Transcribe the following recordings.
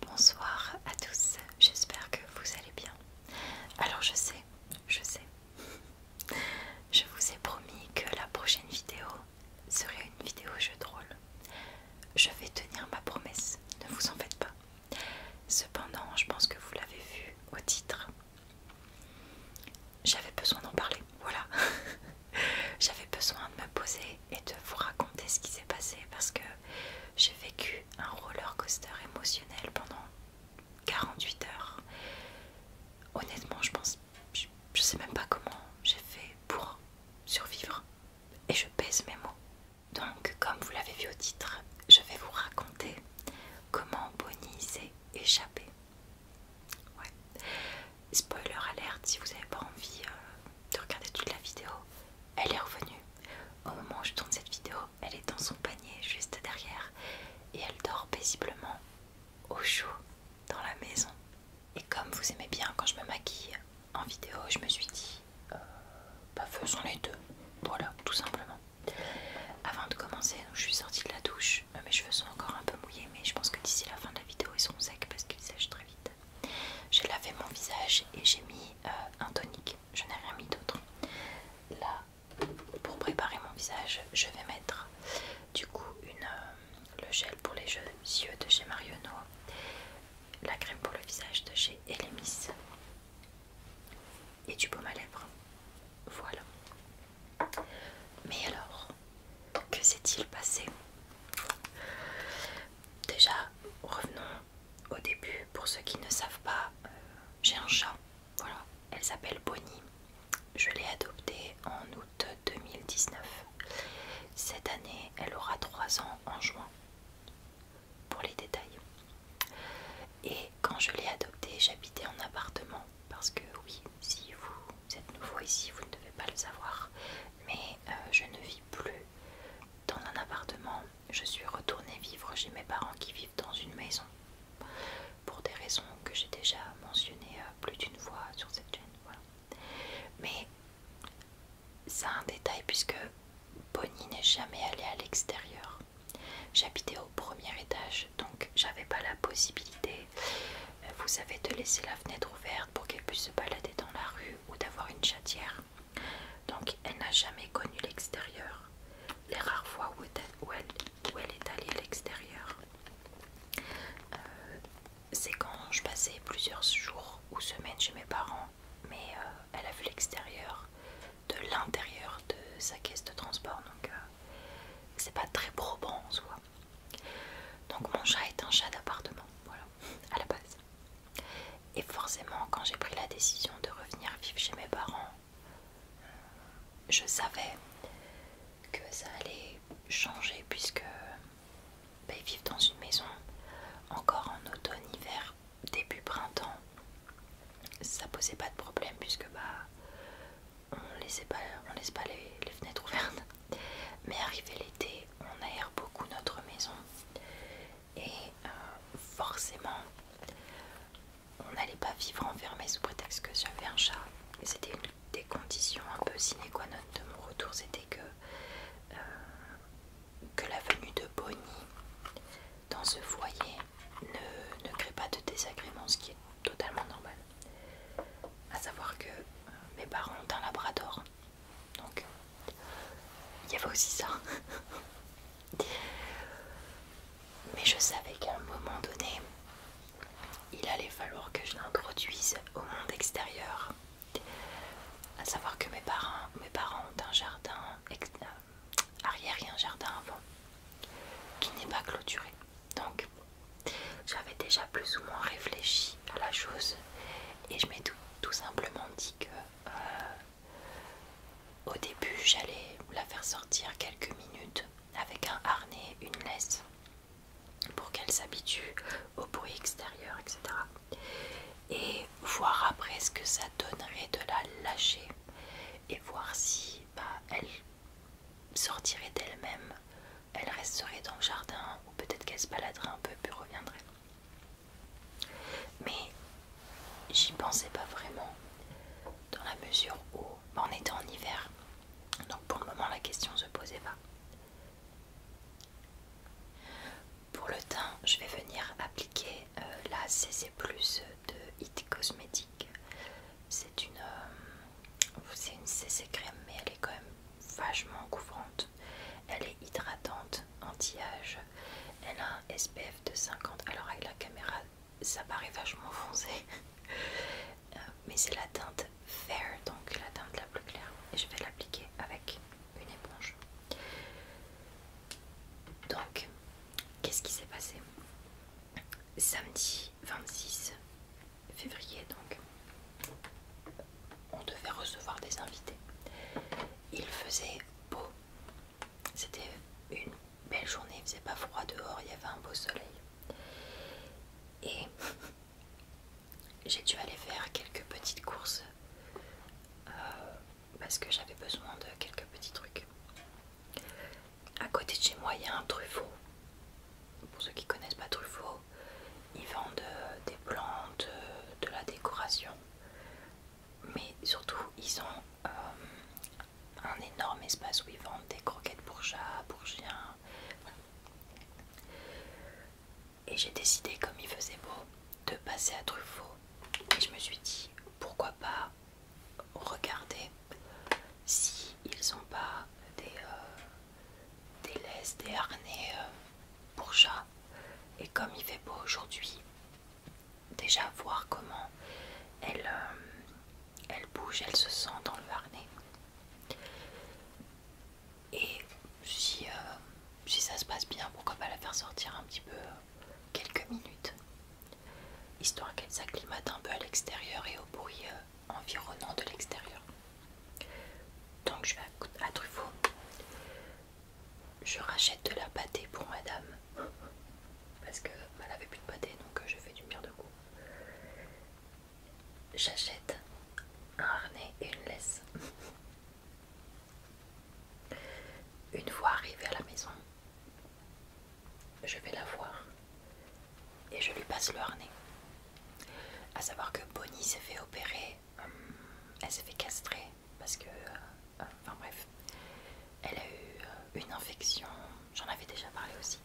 Bonsoir à tous, j'espère que vous allez bien. Alors je sais, je sais, je vous ai promis que la prochaine vidéo serait une vidéo jeu drôle. Je vais tenir ma promesse, ne vous en faites pas. Cependant, je pense que vous l'avez vu au titre. J'avais besoin d'en parler, voilà. J'avais besoin de me poser et de vous raconter ce qui s'est passé parce que j'ai vécu un roller coaster émotionnel pendant 48 heures. Honnêtement, je pense, je, sais même pas comment j'ai fait pour survivre et je pèse mes mots. Donc, comme vous l'avez vu au titre, je vais vous raconter comment Bonnie s'est échappée. Ouais. Spoiler alerte, si vous n'avez pas envie euh, de regarder toute la vidéo, elle est revenue. Au moment où je tourne cette vidéo, elle est dans son panier juste derrière et elle dort paisiblement au chaud dans la maison. Et comme vous aimez bien quand je me maquille en vidéo, je me suis dit, euh, bah faisons les deux. Voilà, tout simplement. Avant de commencer, je suis sortie de la douche. Euh, mes cheveux sont encore un peu mouillés, mais je pense que d'ici la fin de la vidéo, ils seront secs parce qu'ils sèchent très vite. J'ai lavé mon visage et j'ai mis euh, un tonique. Je n'ai rien mis d'autre. Là, pour préparer mon visage, je vais mettre du coup euh, le gel pour les yeux de chez Mariono, la crème pour le visage de chez Elemis et du baume à lèvres. Voilà. Mais alors, que s'est-il passé Déjà, revenons au début, pour ceux qui ne savent pas, euh, j'ai un chat. Voilà, elle s'appelle Bonnie. Je l'ai adoptée en août 2019. Cette année, elle aura 3 ans en juin. Pour les détails. Et quand je l'ai adoptée, j'habitais en appartement. Parce que oui, si vous êtes nouveau ici, vous ne devez pas le savoir. Mais euh, je ne vis plus dans un appartement, je suis retournée vivre chez mes parents qui vivent dans une maison, pour des raisons que j'ai déjà mentionnées euh, plus d'une fois sur cette chaîne. Mais c'est un détail puisque Bonnie n'est jamais allée à l'extérieur. J'habitais au premier étage, donc j'avais pas la possibilité, euh, vous savez, de laisser la fenêtre ouverte pour qu'elle puisse se balader dans la rue ou d'avoir une chatière. Donc elle n'a jamais connu l'extérieur. Les rares fois où, elle, est allée à l'extérieur, euh, c'est quand je passais plusieurs jours ou semaines chez mes parents, mais euh, elle a vu l'extérieur de l'intérieur de sa caisse de transport, donc euh, c'est pas très probant en soi. Donc mon chat est un chat d'appartement, voilà, à la base. Et forcément, quand j'ai pris la décision de revenir vivre chez mes parents, euh, je savais que ça allait changer puisque bah, ils vivent dans une maison encore en automne, hiver, début printemps. Ça posait pas de problème puisque bah on laissait pas, on laisse pas les, les fenêtres ouvertes. Mais arrivé l'été, on aère beaucoup notre maison et euh, forcément on n'allait pas vivre enfermé sous prétexte que j'avais un chat. C'était une des conditions un peu sine qua non de mon retour, c'était que, euh, que la venue de Bonnie dans ce foyer ne, crée pas de désagrément, ce qui est totalement normal. à savoir que euh, mes parents ont un labrador donc, il y avait aussi ça. Mais je savais qu'à un moment donné, il allait falloir que je l'introduise au monde extérieur. À savoir que mes parents, mes parents ont un jardin euh, arrière et un jardin avant qui n'est pas clôturé. Donc, j'avais déjà plus ou moins réfléchi à la chose et je m'étais tout, simplement dit que euh, au début, j'allais la faire sortir quelques minutes avec un harnais, une laisse, pour qu'elle s'habitue au bruit extérieur, etc. Et voir après ce que ça donnerait de la lâcher et voir si bah, elle sortirait d'elle-même, elle resterait dans le jardin ou peut-être qu'elle se baladerait un peu puis reviendrait. Mais j'y pensais pas vraiment, dans la mesure où bah, on était en hiver. Donc pour le moment, la question se posait pas. Pour le teint, je vais venir appliquer euh, la CC Plus de IT Cosmetics. C'est une, euh, une CC crème, mais elle est quand même vachement couvrante. Elle est hydratante, anti-âge. Elle a un SPF de 50. Alors avec la caméra, ça paraît vachement foncé. Euh, mais c'est la teinte fair, donc la teinte la plus claire. Et je vais l'appliquer avec une éponge. Donc, qu'est-ce qui s'est passé Samedi 26 février, donc, on devait recevoir des invités il faisait beau. C'était une belle journée, il faisait pas froid dehors, il y avait un beau soleil. Et j'ai dû aller faire quelques petites courses euh, parce que j'avais besoin de quelques petits trucs. À côté de chez moi, il y a un Truffaut. Pour ceux qui connaissent pas Truffaut, ils vendent euh, des plantes, euh, de la décoration mais surtout ils ont euh, un énorme espace où ils vendent des croquettes pour chats, pour chiens... Et j'ai décidé, comme il faisait beau, de passer à Truffaut. Et je me suis dit, pourquoi pas regarder si ils n'ont pas euh, des, laisses, des harnais euh, pour chats. Et comme il fait beau aujourd'hui, déjà voir comment elle, euh, elle bouge, elle se sent dans le harnais. Et si, euh, si ça se passe bien, pourquoi pas la faire sortir un petit peu euh, quelques minutes, histoire qu'elle s'acclimate un peu à l'extérieur et au bruit environnant de l'extérieur. Donc je vais à Truffaut je rachète de la pâtée pour madame parce que bah, elle avait plus de pâté donc euh, je fais du mire de goût j'achète un harnais et une laisse une fois arrivée à la maison je vais la voir et je lui passe le harnais à savoir que Bonnie s'est fait opérer hum, elle s'est fait castrer parce que. Euh, euh, enfin bref, elle a eu euh, une infection, j'en avais déjà parlé aussi.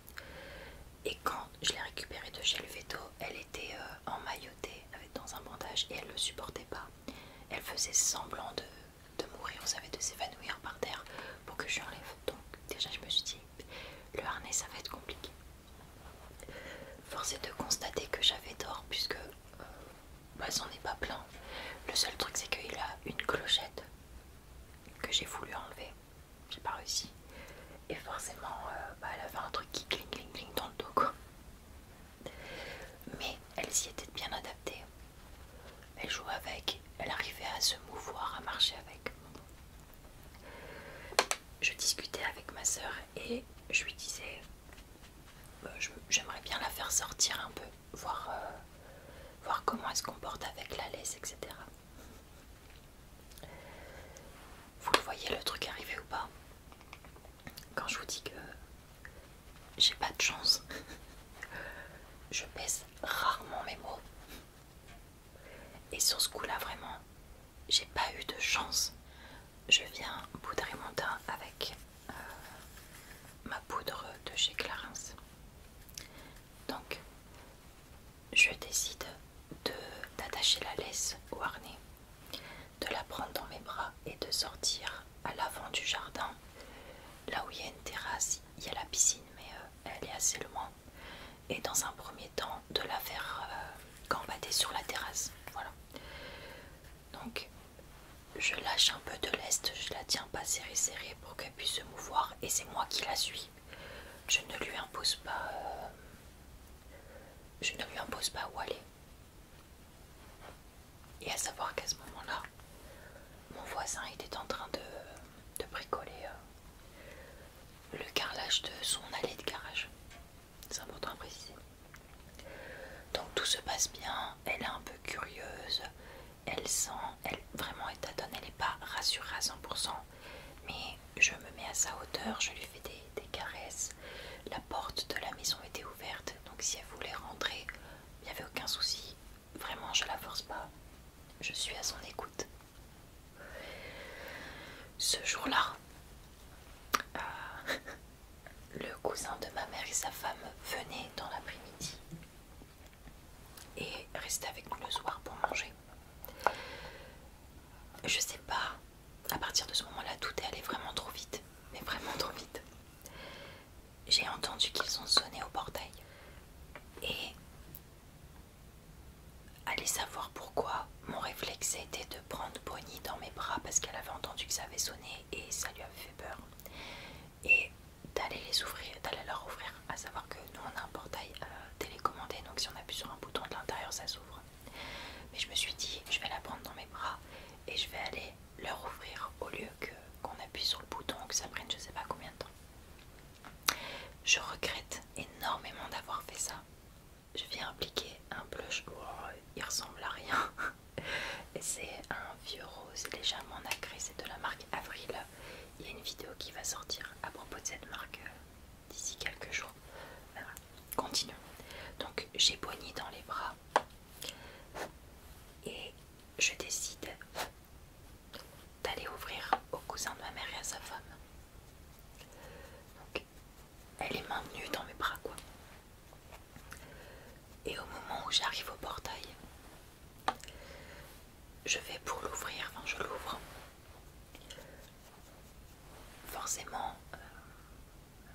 Et quand je l'ai récupérée de chez le veto, elle était emmaillotée dans un bandage et elle ne le supportait pas. Elle faisait semblant de, mourir, vous savez, de s'évanouir par terre pour que je l'enlève. Donc, déjà, je me suis dit, le harnais ça va être compliqué. Forcé de constater que j'avais tort puisque. Bah, c'en n'est pas plein. Le seul truc, c'est qu'il a une clochette que j'ai voulu enlever. J'ai pas réussi. Et forcément, euh, bah, elle avait un truc qui cling cling dans le dos, Mais elle s'y était bien adaptée. Elle jouait avec, elle arrivait à se mouvoir, à marcher avec. Je discutais avec ma soeur et je lui disais euh, j'aimerais bien la faire sortir un peu, voir, euh, voir comment elle se comporte avec la laisse, etc. Vous voyez le truc arriver ou pas Quand je vous dis que j'ai pas de chance, je pèse rarement mes mots. Et sur ce coup-là, vraiment, j'ai pas eu de chance je viens poudrer mon teint avec euh, ma poudre de chez Clarence. Donc, je décide d'attacher la laisse au harnais, de la prendre dans mes bras et de sortir à l'avant du jardin. Là où il y a une terrasse, il y a la piscine, mais euh, elle est assez loin. Et dans un premier temps, de la faire euh, gambader sur la terrasse. Voilà. Donc je lâche un peu de lest, je la tiens pas serrée serrée pour qu'elle puisse se mouvoir et c'est moi qui la suis. Je ne lui impose pas euh, je ne lui impose pas où aller. Et à savoir qu'à ce moment-là, mon voisin était en train de, bricoler euh, le carrelage de son allée de garage. C'est important à préciser. Donc tout se passe bien, elle est un peu curieuse, elle sent, elle vraiment est tâtonne, elle n'est pas rassurée à 100%, mais je me mets à sa hauteur, je lui fais des, caresses. La porte de la maison était ouverte, donc si elle voulait rentrer, il n'y avait aucun souci. Vraiment, je ne la force pas, je suis à son écoute. Ce jour-là, euh, le cousin de ma mère et sa femme venaient dans l'après-midi et restaient avec nous le soir pour manger. Je sais pas, à partir de ce moment-là, tout est allé vraiment trop vite, mais vraiment trop vite. J'ai entendu qu'ils ont sonné au portail et allez savoir pourquoi mon réflexe a été de prendre Bonnie dans mes bras parce qu'elle avait entendu que ça avait sonné et ça lui avait fait peur et d'aller les ouvrir, d'aller leur ouvrir, à savoir que nous on a un portail euh, télécommandé, donc si on appuie sur un bouton de l'intérieur ça s'ouvre. Mais je me suis dit je vais la prendre dans mes bras et je vais aller leur ouvrir au lieu qu'on appuie sur le bouton que ça prenne je sais pas combien de temps. Je regrette énormément d'avoir fait ça. Je viens appliquer un blush, oh, il ressemble à rien. C'est un vieux rose légèrement nacré, c'est de la marque Avril. Il y a une vidéo qui va sortir à propos de cette marque euh, d'ici quelques jours. Voilà. Continuons. Donc j'ai Bonnie dans les bras et je décide d'aller ouvrir au cousin de ma mère et à sa femme. Donc elle est maintenue dans mes bras quoi. Et au moment où j'arrive au portail, je vais pour l'ouvrir, enfin je l'ouvre. Forcément, euh,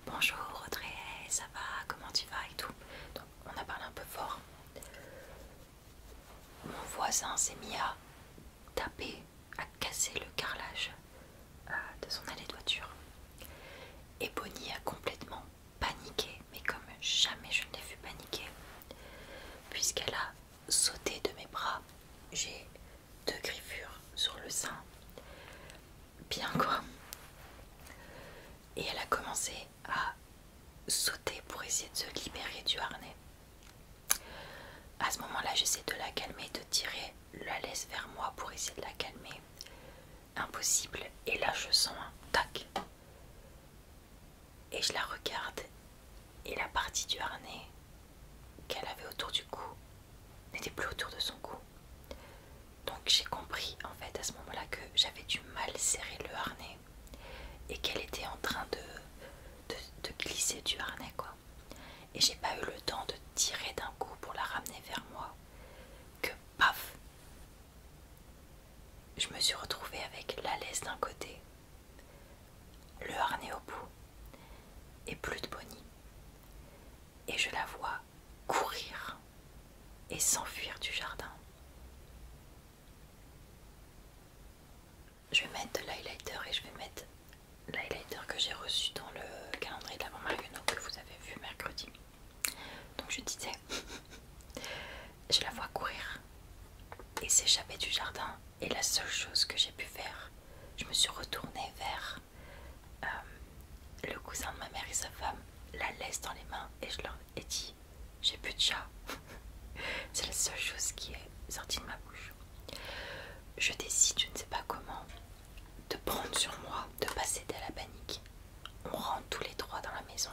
bonjour Audrey, ça va, comment tu vas et tout. Donc on a parlé un peu fort. Mon voisin s'est mis à taper, à casser le carrelage euh, de son allée de voiture. Et Bonnie a complètement paniquée, mais comme jamais je ne l'ai vu paniquer, puisqu'elle a sauté de mes bras. J'ai deux griffures sur le sein, bien quoi. Et elle a commencé à sauter pour essayer de se libérer du harnais. À ce moment-là, j'essaie de la calmer, de tirer la laisse vers moi pour essayer de la calmer impossible. Et là, je sens un tac. Et je la regarde, et la partie du harnais qu'elle avait autour du cou n'était plus autour de son cou. Donc j'ai compris en fait à ce moment-là que j'avais du mal serrer le harnais et qu'elle était en train de, glisser du harnais quoi. Et j'ai pas eu le temps de tirer d'un coup pour la ramener vers moi que paf je me suis retrouvée avec la laisse d'un côté, le harnais au bout, et plus de Bonnie. Et je la vois courir et s'enfuir du jardin. Je vais mettre de l'highlighter et je vais mettre l'highlighter que j'ai reçu dans le calendrier de la l'avant Marionneau que vous avez vu mercredi. Donc je disais, je la vois courir et s'échapper du jardin. Et la seule chose que j'ai pu faire, je me suis retournée vers euh, le cousin de ma mère et sa femme, la laisse dans les mains et je leur ai dit, j'ai plus de chat. C'est la seule chose qui est sortie de ma bouche. Je décide, je ne sais pas comment, de prendre sur moi, de passer de la panique on rentre tous les trois dans la maison.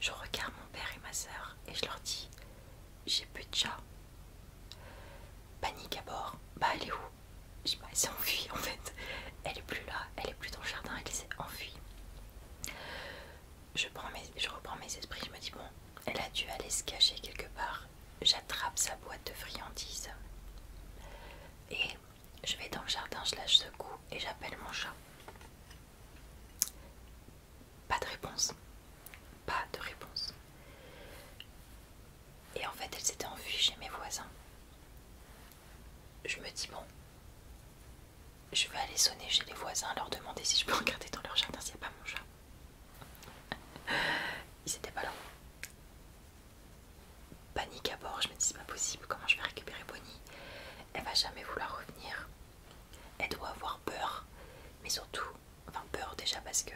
Je regarde mon père et ma soeur et je leur dis J'ai plus de chat. Panique à bord. Bah, elle est où Je pas, bah, elle s'est enfuie en fait. Elle est plus là, elle est plus dans le jardin, elle s'est enfuie. Je, je reprends mes esprits, je me dis Bon, elle a dû aller se cacher quelque part. J'attrape sa boîte de friandises et je vais dans le jardin, je lâche ce coup, et j'appelle mon chat. Pas de réponse. Pas de réponse. Et en fait, elle s'était enfuie chez mes voisins. Je me dis, bon, je vais aller sonner chez les voisins, leur demander si je peux regarder dans leur jardin s'il n'y a pas mon chat. Ils n'étaient pas là panique à bord, je me dis c'est pas possible, comment je vais récupérer Bonnie Elle va jamais vouloir revenir. Elle doit avoir peur, mais surtout, enfin peur déjà parce que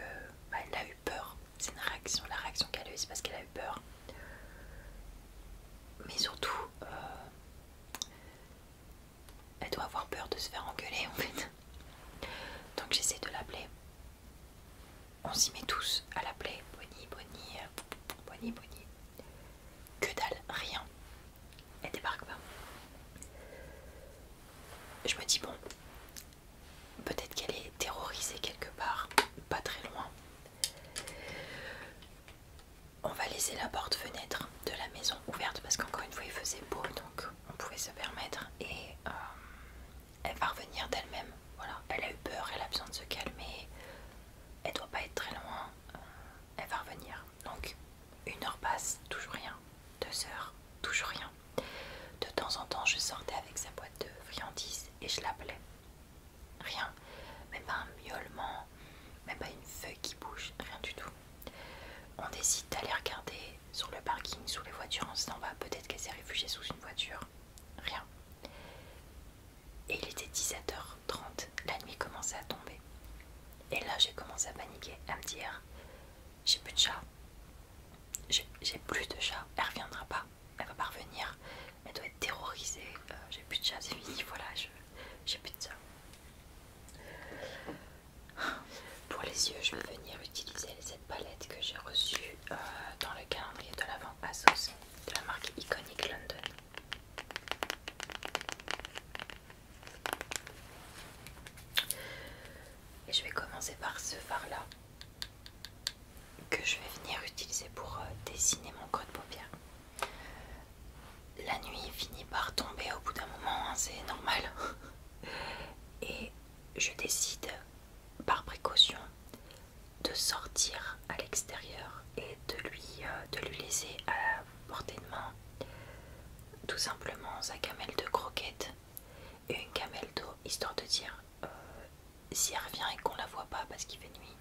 bah, elle a eu peur. C'est une réaction, la réaction qu'elle a eu, c'est parce qu'elle a eu peur. Mais surtout, euh, elle doit avoir peur de se faire engueuler en fait. Donc j'essaie de l'appeler. On s'y met tous à l'appeler. Bonnie, Bonnie, euh, Bonnie, Bonnie. Que dalle, rien. Elle débarque pas. Je me dis, bon, peut-être qu'elle est terrorisée quelque part, pas très loin. On va laisser la porte-fenêtre de la maison ouverte parce qu'encore une fois il faisait beau donc on pouvait se permettre et euh, elle va revenir d'elle-même. Voilà, elle a eu peur, elle a besoin de se calmer elle doit pas être très loin, euh, elle va revenir. Donc une heure passe, toujours rien. Deux heures, toujours rien. De temps en temps, je sortais avec sa boîte de friandises et je l'appelais. Rien, même pas un miaulement, même pas une feuille qui bouge, rien du tout. On décide d'aller regarder sur le parking, sous les voitures, On s'en va. peut-être qu'elle s'est réfugiée sous une voiture. Rien. Et il était 17h30, la nuit commençait à tomber. Et là, j'ai commencé à paniquer, à me dire J'ai plus de chat. J'ai plus de chat, elle reviendra pas, elle va pas revenir, elle doit être terrorisée. Euh, j'ai plus de chat, c'est fini, voilà, j'ai plus de ça Pour les yeux, je vais venir utiliser cette palette que j'ai reçue euh, dans le calendrier de l'avant sauce de la marque Iconic London. Et je vais commencer par ce phare là que je vais venir utiliser pour euh, dessiner mon creux de paupière. La nuit finit par tomber au bout d'un moment, hein, c'est normal. Et je décide par précaution de sortir à l'extérieur et de lui, euh, de lui laisser à la euh, portée de main tout simplement sa camelle de croquettes et une camelle d'eau, histoire de dire euh, si elle revient et qu'on la voit pas parce qu'il fait nuit,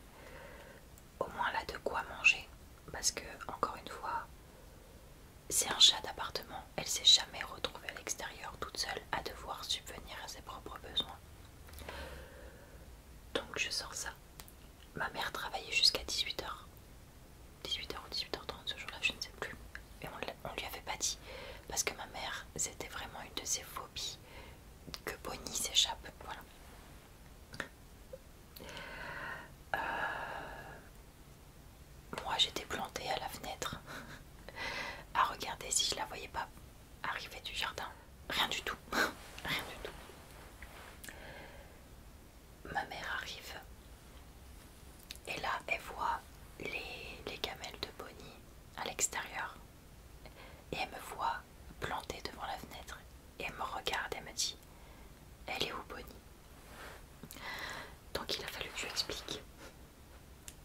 au moins elle a de quoi manger. Parce que, encore une fois, c'est un chat d'appartement, elle s'est jamais retrouvée à l'extérieur toute seule à devoir subvenir à ses propres besoins. Donc je sors ça Ma mère travaillait jusqu'à 18h. 18h ou 18h30 ce jour-là, je ne sais plus. Et on, ne lui avait pas dit. Parce que ma mère, c'était vraiment une de ses phobies que Bonnie s'échappe. Voilà. Euh, moi j'étais plantée à la fenêtre à regarder si je la voyais pas arrivée du jardin, rien du tout, rien du tout. Ma mère arrive et là elle voit les, gamelles de Bonnie à l'extérieur et elle me voit plantée devant la fenêtre et elle me regarde et me dit elle est où Bonnie donc il a fallu que je explique.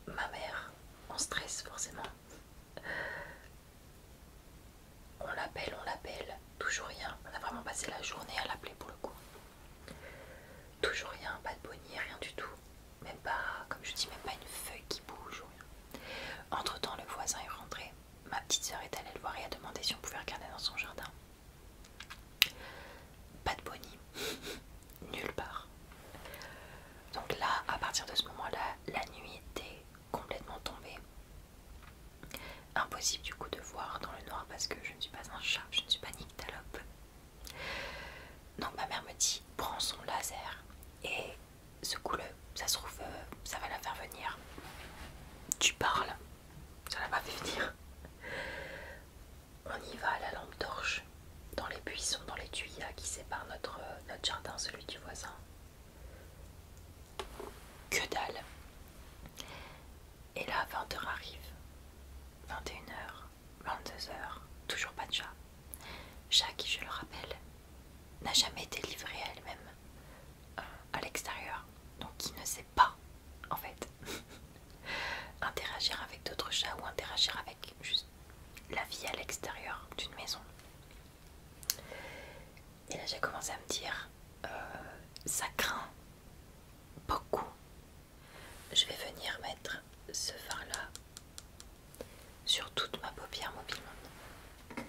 Ma mère, en stress forcément, On l'appelle, on l'appelle, toujours rien. On a vraiment passé la journée à l'appeler pour le coup. Toujours rien, pas de bonnie, rien du tout. Même pas, comme je dis, même pas une feuille qui bouge ou rien. Entre temps, le voisin est rentré. Ma petite sœur est allée le voir et a demandé si on pouvait regarder dans son jardin. Pas de bonnie, nulle part. Donc là, à partir de ce moment-là, la nuit était complètement tombée. Impossible du coup de voir dans le noir parce que je ne suis pas un chat, je ne suis pas nyctalope. Donc ma mère me dit prends son laser et secoue-le, ça se trouve euh, ça va la faire venir. Tu parles, ça l'a pas fait venir. On y va à la lampe torche, dans les buissons, dans les tuyas qui séparent notre euh, jardin, celui du voisin. Que dalle. Et là, 20h arrive. 21h, 22h, toujours pas de chat. Chat qui, je le rappelle, n'a jamais été livré à elle-même euh, à l'extérieur. Donc qui ne sait pas, en fait, interagir avec d'autres chats ou interagir avec juste la vie à l'extérieur d'une maison. Et là, j'ai commencé à me dire, euh, ça craint beaucoup. Je vais venir mettre ce vin là sur toute ma paupière mobile.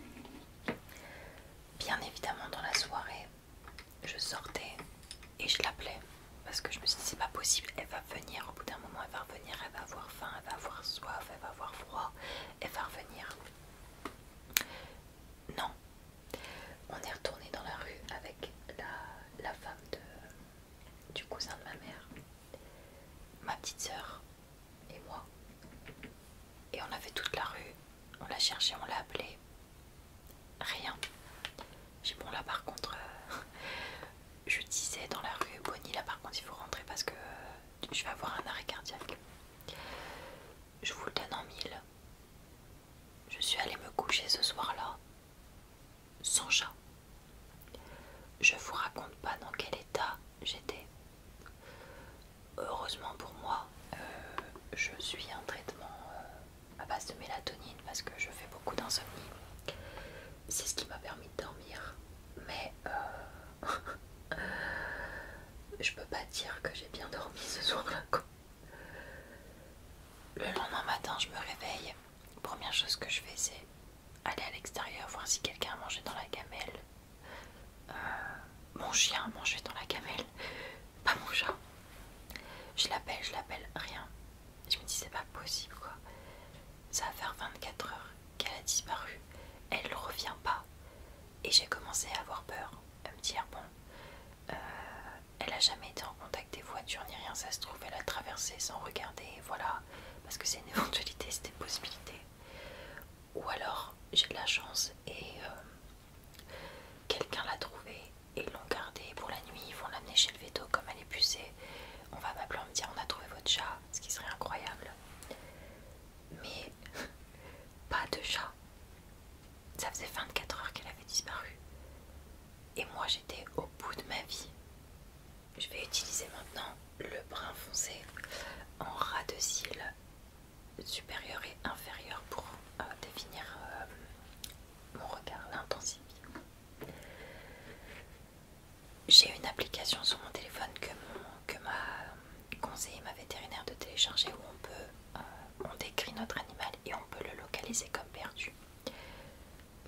Bien évidemment, dans la soirée, je sortais et je l'appelais parce que je me suis dit, c'est pas possible, elle va venir au bout d'un moment, elle va revenir, elle va avoir faim, elle va avoir soif, elle va avoir froid, elle va revenir. Non. On est retourné dans la rue avec la, femme du cousin de ma mère, ma petite sœur et moi. Et on avait toute la rue. On l'a cherché, on l'a appelée. Rien. J'ai bon là par contre, euh, je disais dans la rue, Bonnie là par contre il faut rentrer parce que je vais avoir un arrêt cardiaque. Je vous le donne en mille. Je suis allée me coucher ce soir-là, sans chat. Je vous raconte pas dans quel état j'étais. Heureusement pour moi, euh, je suis un traitement euh, à base de mélatonine parce que je fais beaucoup d'insomnie. C'est ce qui m'a permis de dormir. Mais euh, je peux pas dire que j'ai bien dormi ce soir-là. Le lendemain matin, je me réveille. Première chose que je fais, c'est aller à l'extérieur voir si quelqu'un a mangé dans la gamelle. Euh, mon chien a mangé dans la gamelle, pas mon chat. Je l'appelle, je l'appelle, rien. Je me dis, c'est pas possible quoi. Ça va faire 24 heures qu'elle a disparu. Elle ne revient pas. Et j'ai commencé à avoir peur, à me dire, bon, euh, elle a jamais été en contact des voitures ni rien, ça se trouve, elle a traversé sans regarder, voilà, parce que c'est une éventualité, c'est une possibilité. Ou alors, j'ai de la chance et euh, quelqu'un l'a trouvée et l'ont gardée pour la nuit, ils vont l'amener chez le veto comme elle est pucée. On va m'appeler, on me dire, on a trouvé votre chat, ce qui serait incroyable mais pas de chat. Ça faisait 24 heures qu'elle avait disparu. Et moi j'étais au bout de ma vie. Je vais utiliser maintenant le brun foncé en ras de cils supérieur et inférieur pour euh, définir euh, mon regard, l'intensifier. J'ai une application sur mon téléphone que, mon, que ma conseiller ma vétérinaire de télécharger où on peut, euh, on décrit notre animal et on peut le localiser comme perdu.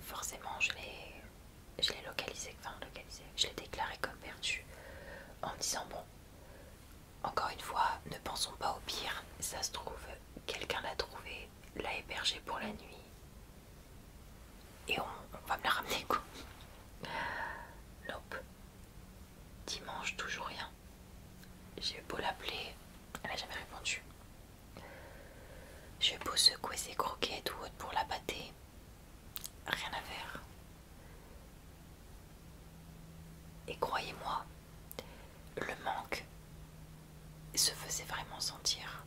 Forcément, je l'ai localisé, enfin localisé, je l'ai déclaré comme perdu en me disant bon, encore une fois, ne pensons pas au pire, ça se trouve, quelqu'un l'a trouvé, l'a hébergé pour la nuit et on, on va me la ramener quoi. Nope. Dimanche, toujours rien. J'ai beau l'appeler, elle n'a jamais répondu. J'ai beau secouer ses croquettes ou autre pour la battre, rien à faire. Et croyez-moi, le manque se faisait vraiment sentir.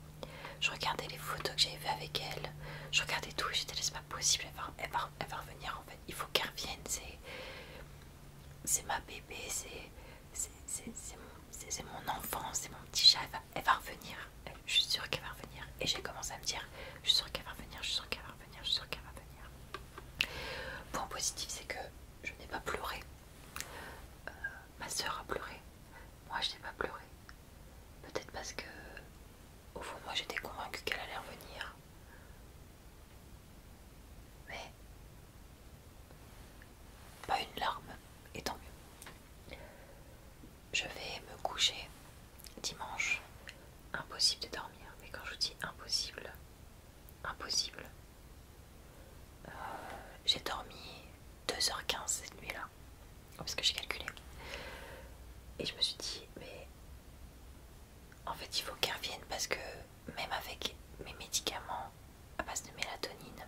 Je regardais les photos que j'avais vues avec elle, je regardais tout j'étais là, c'est pas possible, elle va, elle va revenir en fait il faut qu'elle revienne, c'est ma bébé, c'est mon enfant, c'est mon petit chat, elle va, revenir, je suis sûre qu'elle va revenir. Et j'ai commencé à me dire, je suis sûre qu'elle va revenir, je suis sûre qu'elle va revenir, je suis sûre qu'elle va revenir. Point positif, c'est que je n'ai pas pleuré. Euh, ma soeur a pleuré, moi je n'ai pas pleuré. Peut-être parce que au fond, moi j'étais convaincue qu'elle allait revenir. Mais. Pas une larme, et tant mieux. Je vais me coucher dimanche. Impossible de dormir, mais quand je dis impossible, impossible. Euh, j'ai dormi 2h15 cette nuit-là, parce que j'ai calculé. Et je me suis dit, mais en fait, il faut qu'elle revienne parce que même avec mes médicaments à base de mélatonine,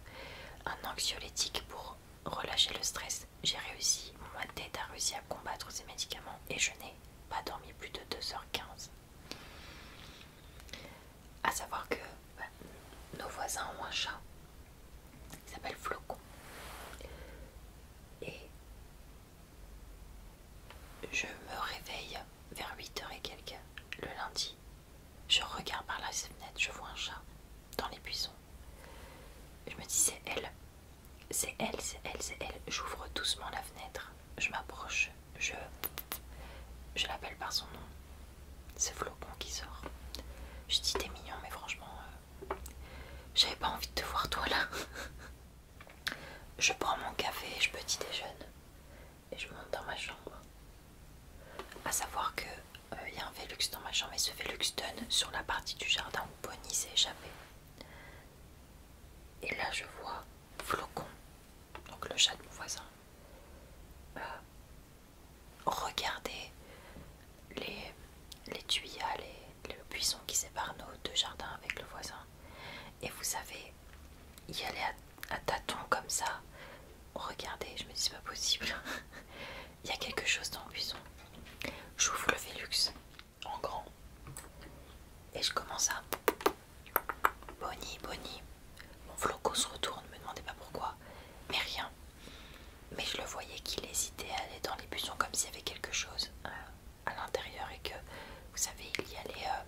un anxiolytique pour relâcher le stress, j'ai réussi, moi, tête a réussi à combattre ces médicaments et je n'ai pas dormi plus de 2h15. A savoir que bah, nos voisins ont un chat, il s'appelle Flocon. Et je me réveille vers 8 h et quelques le lundi. Je regarde par la fenêtre, je vois un chat dans les buissons. Je me dis c'est elle, c'est elle, c'est elle, c'est elle. J'ouvre doucement la fenêtre, je m'approche, je, je l'appelle par son nom. C'est Flocon qui sort. Je dis t'es mignon mais franchement, euh, j'avais pas envie de te voir toi là. Je prends mon café, je petit déjeune et je monte dans ma chambre. A savoir que il euh, y a un vélux dans ma chambre et ce vélux donne sur la partie du jardin où Bonnie s'est échappée. Et là je vois Flocon, donc le chat de mon voisin, euh, regarder les, les les, le buisson qui sépare nos deux jardins avec le voisin. Et vous savez, y aller à, tâtons comme ça, regardez, je me dis c'est pas possible. Il y a quelque chose dans le buisson. J'ouvre le Velux en grand et je commence à. Bonnie, Bonnie. Mon flocos se retourne, me demandez pas pourquoi, mais rien. Mais je le voyais qu'il hésitait à aller dans les buissons comme s'il y avait quelque chose. Euh, à l'intérieur et que vous savez il y allait euh,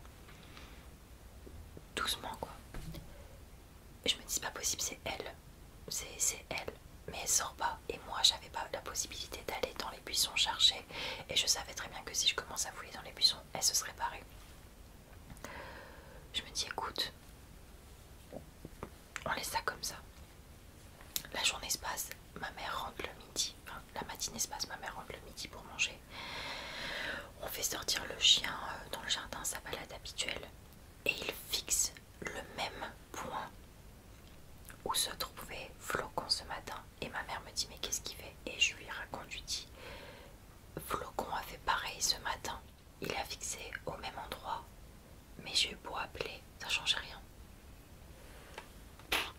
doucement quoi. Et je me dis c'est pas possible, c'est elle, c'est elle, mais elle sort pas. Et moi j'avais pas la possibilité d'aller dans les buissons chercher et je savais très bien que si je commence à fouiller dans les buissons, elle se serait barrée. Je me dis écoute, on laisse ça comme ça. La journée se passe, ma mère rentre le midi, la matinée se passe, ma mère rentre le midi pour manger. On fait sortir le chien euh, dans le jardin, sa balade habituelle, et il fixe le même point où se trouvait Flocon ce matin. Et ma mère me dit mais qu'est-ce qu'il fait Et je lui raconte, lui dis Flocon a fait pareil ce matin. Il a fixé au même endroit, mais j'ai eu beau appeler, ça change rien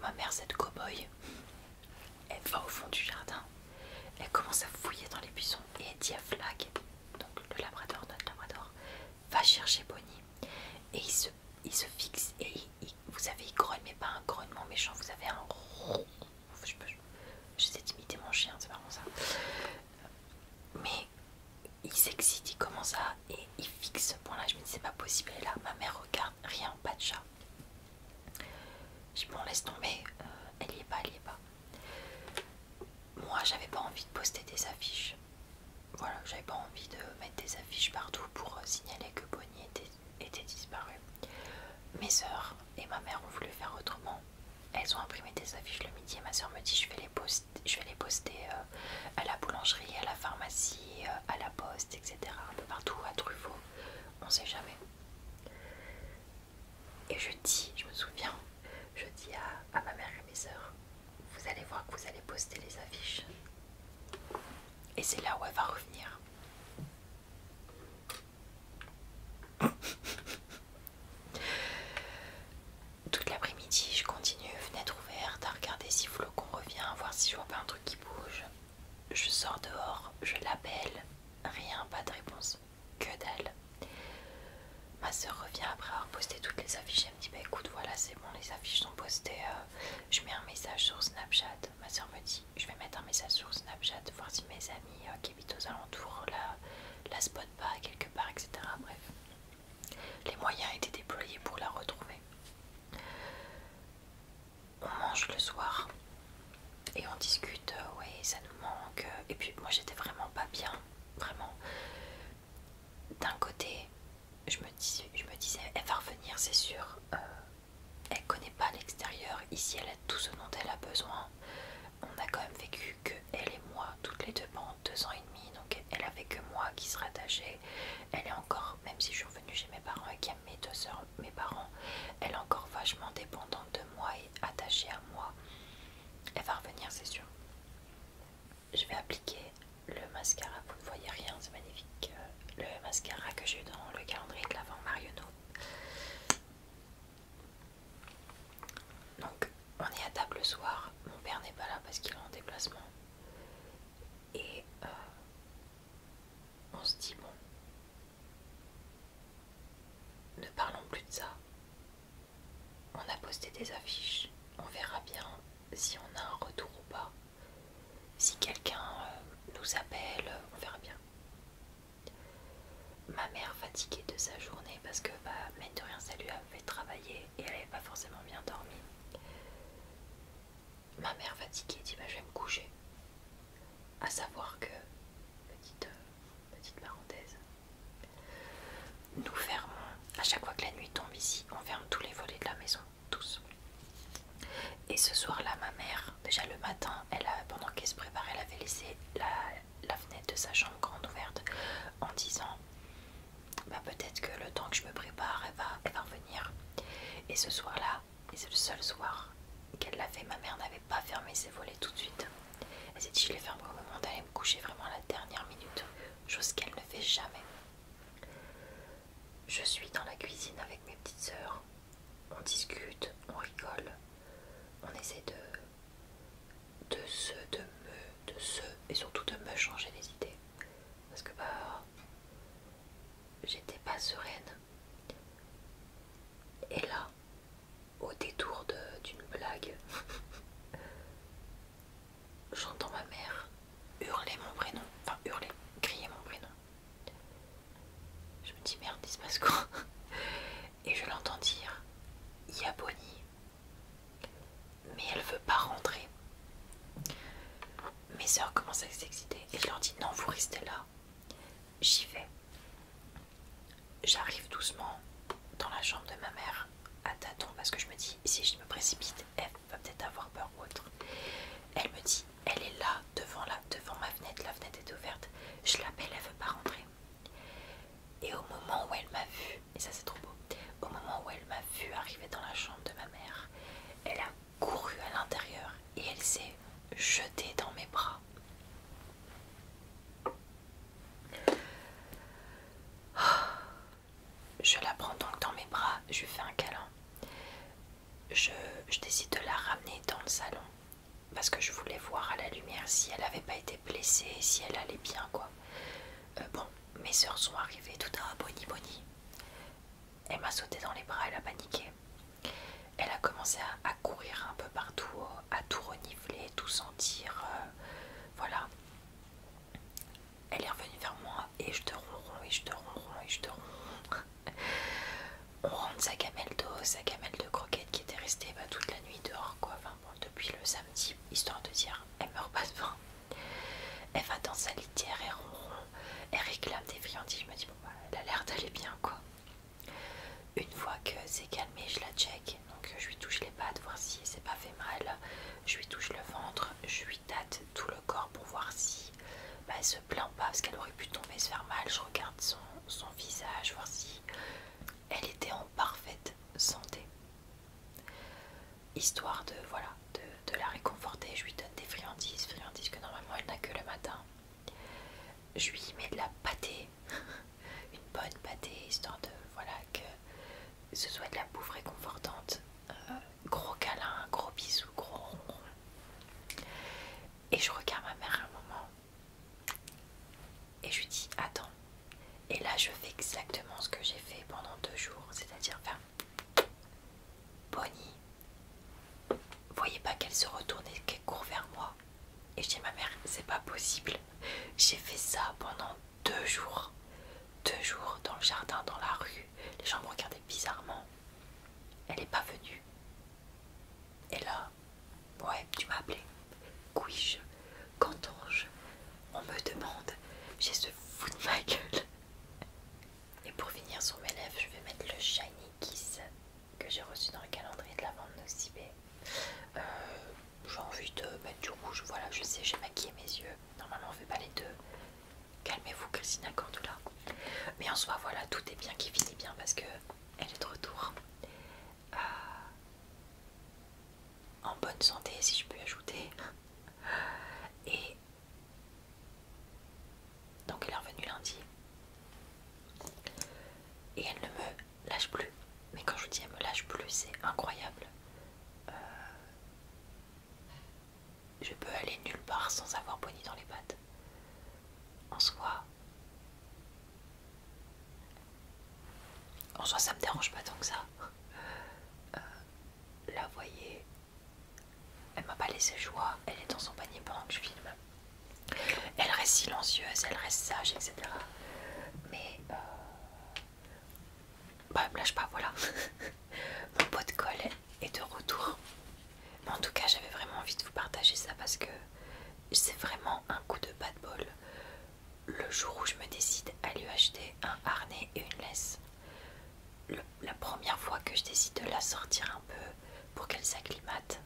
ma mère, cette cow-boy, elle va au fond du jardin, elle commence à fouiller dans les buissons et elle dit à Flag, donc le labrador, notre labrador, va chercher Bonnie. Et il se, il se fixe et vous savez, il grogne, mais pas un grognement méchant, vous avez un. Je sais imiter mon chien, c'est vraiment ça. Mais il s'excite, il commence à. Et il fixe ce point-là. Je me dis, c'est pas possible. Et là, ma mère regarde rien, pas de chat. je bon laisse tomber, euh, elle y est pas, elle y est pas. Moi j'avais pas envie de poster des affiches. Voilà, j'avais pas envie de mettre des affiches partout pour euh, signaler que Bonnie était, était disparue. Mes soeurs et ma mère ont voulu faire autrement. Elles ont imprimé des affiches le midi et ma soeur me dit je vais les poster, je vais les poster euh, à la boulangerie, à la pharmacie, à la poste etc. Un peu partout, à Truffaut, on sait jamais. Et je dis, je me souviens, je dis à, ma mère et à mes soeurs, vous allez voir que vous allez poster les affiches. Et c'est là où elle va revenir. Toute l'après-midi, je continue, fenêtre ouverte, à regarder si qu'on revient, à voir si je vois pas un truc qui bouge. Je sors dehors, je l'appelle, rien, pas de réponse, que d'elle. Ma soeur revient après avoir posté toutes les affiches, elle me dit bah écoute voilà c'est bon les affiches sont postées, euh, je mets un message sur Snapchat. Ma soeur me dit je vais mettre un message sur Snapchat, voir si mes amis euh, qui habitent aux alentours la, la spot pas quelque part, etc. Bref. Les moyens étaient déployés pour la retrouver on mange le soir et on discute, oui euh, ouais ça nous manque. Et puis moi j'étais vraiment pas bien, vraiment. D'un côté, je me, disais, elle va revenir, c'est sûr. Euh, elle connaît pas l'extérieur. Ici, elle a tout ce dont elle a besoin. On a quand même vécu que elle et moi, toutes les deux pendant deux ans et demi. Donc elle avait que moi qui se rattachait elle est encore, même si je suis revenue chez mes parents et qu'il y a mes deux soeurs, mes parents, elle est encore vachement dépendante de moi et attachée à moi. Elle va revenir, c'est sûr. Je vais appliquer le mascara, vous ne voyez rien, c'est magnifique. Euh, le mascara que j'ai eu dans le calendrier de l'avant Marionneau. Donc, on est à table le soir. Mon père n'est pas là parce qu'il est en déplacement. Et euh, on se dit bon, ne parlons plus de ça. On a posté des affiches, on verra bien si on a un retour ou pas. Si quelqu'un euh, nous appelle, on verra bien. Ma mère fatiguée de sa journée parce que, bah, mine de rien, ça lui avait travaillé et elle n'avait pas forcément bien dormi. Ma mère fatiguée dit bah, je vais me coucher. À savoir que, euh, petite, parenthèse, nous fermons, à chaque fois que la nuit tombe ici, on ferme tous les volets de la maison, tous. Et ce soir-là, ma mère, déjà le matin, elle pendant qu'elle se préparait, elle avait laissé la, fenêtre de sa chambre grande ouverte en disant bah, peut-être que le temps que je me prépare, va, elle va revenir. Et ce soir-là, et c'est le seul soir qu'elle l'a fait. Ma mère n'avait pas fermé ses volets tout de suite. Elle s'est dit je les ferme au moment d'aller me coucher vraiment la dernière minute, chose qu'elle ne fait jamais. Je suis dans la cuisine avec mes petites soeurs, On discute, on rigole, on essaie de, de se, de me, de se, et surtout de me changer les idées. Parce que bah, j'étais pas sereine. Et là, au détour d'une blague, j'entends ma mère hurler mon prénom, enfin hurler, crier mon prénom. Je me dis merde, il se passe quoi Et je l'entends dire Yaboni. Mais elle veut pas rentrer mes sœurs commencent à s'exciter et je leur dis non, vous restez là. J'y vais. J'arrive doucement dans la chambre de ma mère à tâtons parce que je me dis si je me précipite, elle va peut-être avoir peur ou autre. Elle me dit elle est là devant, devant ma fenêtre, la fenêtre est ouverte. Je l'appelle, elle veut pas rentrer. Et au moment où elle m'a vu, et ça c'est trop beau, au moment où elle m'a vu arriver dans la chambre de ma mère, elle a courue à l'intérieur et elle s'est jetée dans mes bras. Oh, je la prends donc dans mes bras, je lui fais un câlin. Je, décide de la ramener dans le salon parce que je voulais voir à la lumière si elle n'avait pas été blessée, si elle allait bien quoi. Euh, bon, mes soeurs sont arrivées tout à boni-boni. Elle m'a sauté dans les bras, elle a paniqué. Elle a commencé à, courir un peu partout, à tout renifler, tout sentir. Euh, voilà. Elle est revenue vers moi et je te ronron, et je te ronron, et je te ronron. On rentre sa gamelle d'eau, sa gamelle de croquettes qui était restée bah, toute la nuit dehors, quoi. Enfin bon, depuis le samedi, histoire de dire, elle meurt pas de faim. Elle va dans sa litière et ronron, elle réclame des friandises. Je me dis, bon, bah, elle a l'air d'aller bien, quoi. Une fois que c'est calmé, je la check. Donc, je lui touche les pattes, voir si c'est pas fait mal. Je lui touche le ventre, je lui tâte tout le corps pour voir si bah, elle se plaint pas parce qu'elle aurait pu tomber, se faire mal. Je regarde son, son visage, voir si elle était en parfaite santé. Histoire de, voilà, de de la réconforter, je lui donne des friandises, friandises que normalement elle n'a que le matin. Je lui mets de la pâté une bonne pâté, histoire de voilà que ce soit de la bouffe réconfortante. Euh, gros câlin, gros bisou, gros ronron. Et je regarde ma mère un moment et je lui dis attends. Et là je fais exactement ce que j'ai fait pendant deux jours, c'est-à-dire faire Bonnie, Voyez pas qu'elle se retourne et qu'elle court vers moi. Et je ma mère, c'est pas possible. J'ai fait ça pendant deux jours. Deux jours dans le jardin, dans la rue. Les gens me regardaient bizarrement. Elle est pas venue. Et là, ouais, tu m'as appelé. quoi je quentends On me demande. J'ai ce fou de ma gueule. Et pour finir sur mes lèvres, je vais mettre le Shiny Kiss que j'ai reçu dans le calendrier de la vente de euh, J'ai envie de mettre du rouge, voilà, je sais, j'ai maquillé mes yeux. Normalement, on ne fait pas les deux. Calmez-vous, Christina Cordula. Mais en soi, voilà, tout est bien qui finit bien parce que elle est de retour. Euh, en bonne santé, si je peux ajouter. Et donc elle est revenue lundi. Et elle ne me lâche plus. Mais quand je vous dis elle me lâche plus, c'est incroyable. Euh, je peux aller nulle part sans avoir Bonnie dans les pattes. En soi. En soi ça me dérange pas tant que ça. Euh, là, la voyez elle m'a pas laissé joie, elle est dans son panier pendant que je filme. Elle reste silencieuse, elle reste sage, etc. Mais euh... bah, me lâche pas, voilà. Mon pot de colle est de retour. Mais en tout cas, j'avais vraiment envie de vous partager ça parce que c'est vraiment un coup de bad bol. Le jour où je me décide à lui acheter un harnais et une laisse, la première fois que je décide de la sortir un peu pour qu'elle s'acclimate,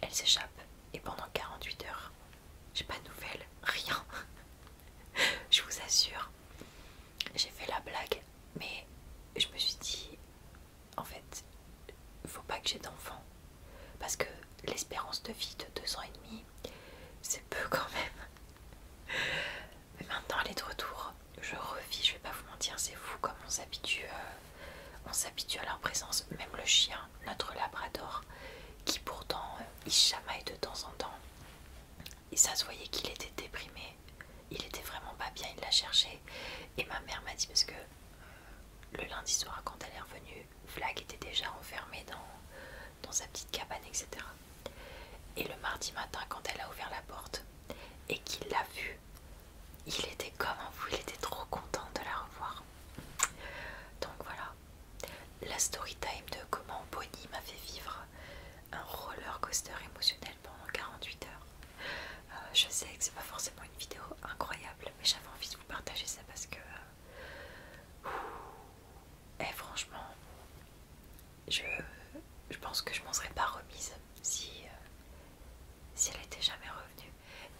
elle s'échappe et pendant 48 heures, j'ai pas de nouvelles, rien. je vous assure, j'ai fait la blague, mais je me suis dit, en fait, faut pas que j'ai d'enfant parce que l'espérance de vie de deux ans et demi, c'est peu quand même. Mais maintenant elle est de retour. Je revis, je vais pas vous mentir, c'est fou comme on s'habitue euh, on s'habitue à leur présence. Même le chien, notre labrador, qui pourtant euh, il chamaille de temps en temps. Et ça se voyait qu'il était déprimé. Il était vraiment pas bien, il l'a cherchait. Et ma mère m'a dit parce que euh, le lundi soir quand elle est revenue, Flag était déjà enfermé dans, dans sa petite cabane, etc. Et le mardi matin, quand elle a ouvert la porte, et qu'il l'a vue, il était comme en fou, il était trop content de la revoir. Donc voilà, la story time de comment Bonnie m'a fait vivre un roller coaster émotionnel pendant 48 heures. Euh, je sais que c'est pas forcément une vidéo incroyable, mais j'avais envie de vous partager ça parce que. et euh, eh, franchement, je, je pense que je m'en serais pas remise si, euh, si elle était jamais revenue.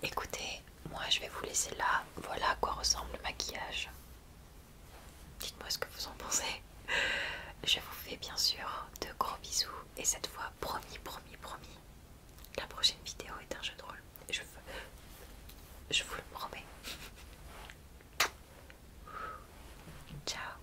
Écoutez, moi je vais vous laisser là. Voilà à quoi ressemble le maquillage. Dites-moi ce que vous en pensez. Je vous fais bien sûr de gros bisous et cette fois, promis, promis, promis, la prochaine vidéo est un jeu de rôle. Je, je vous le promets. Ciao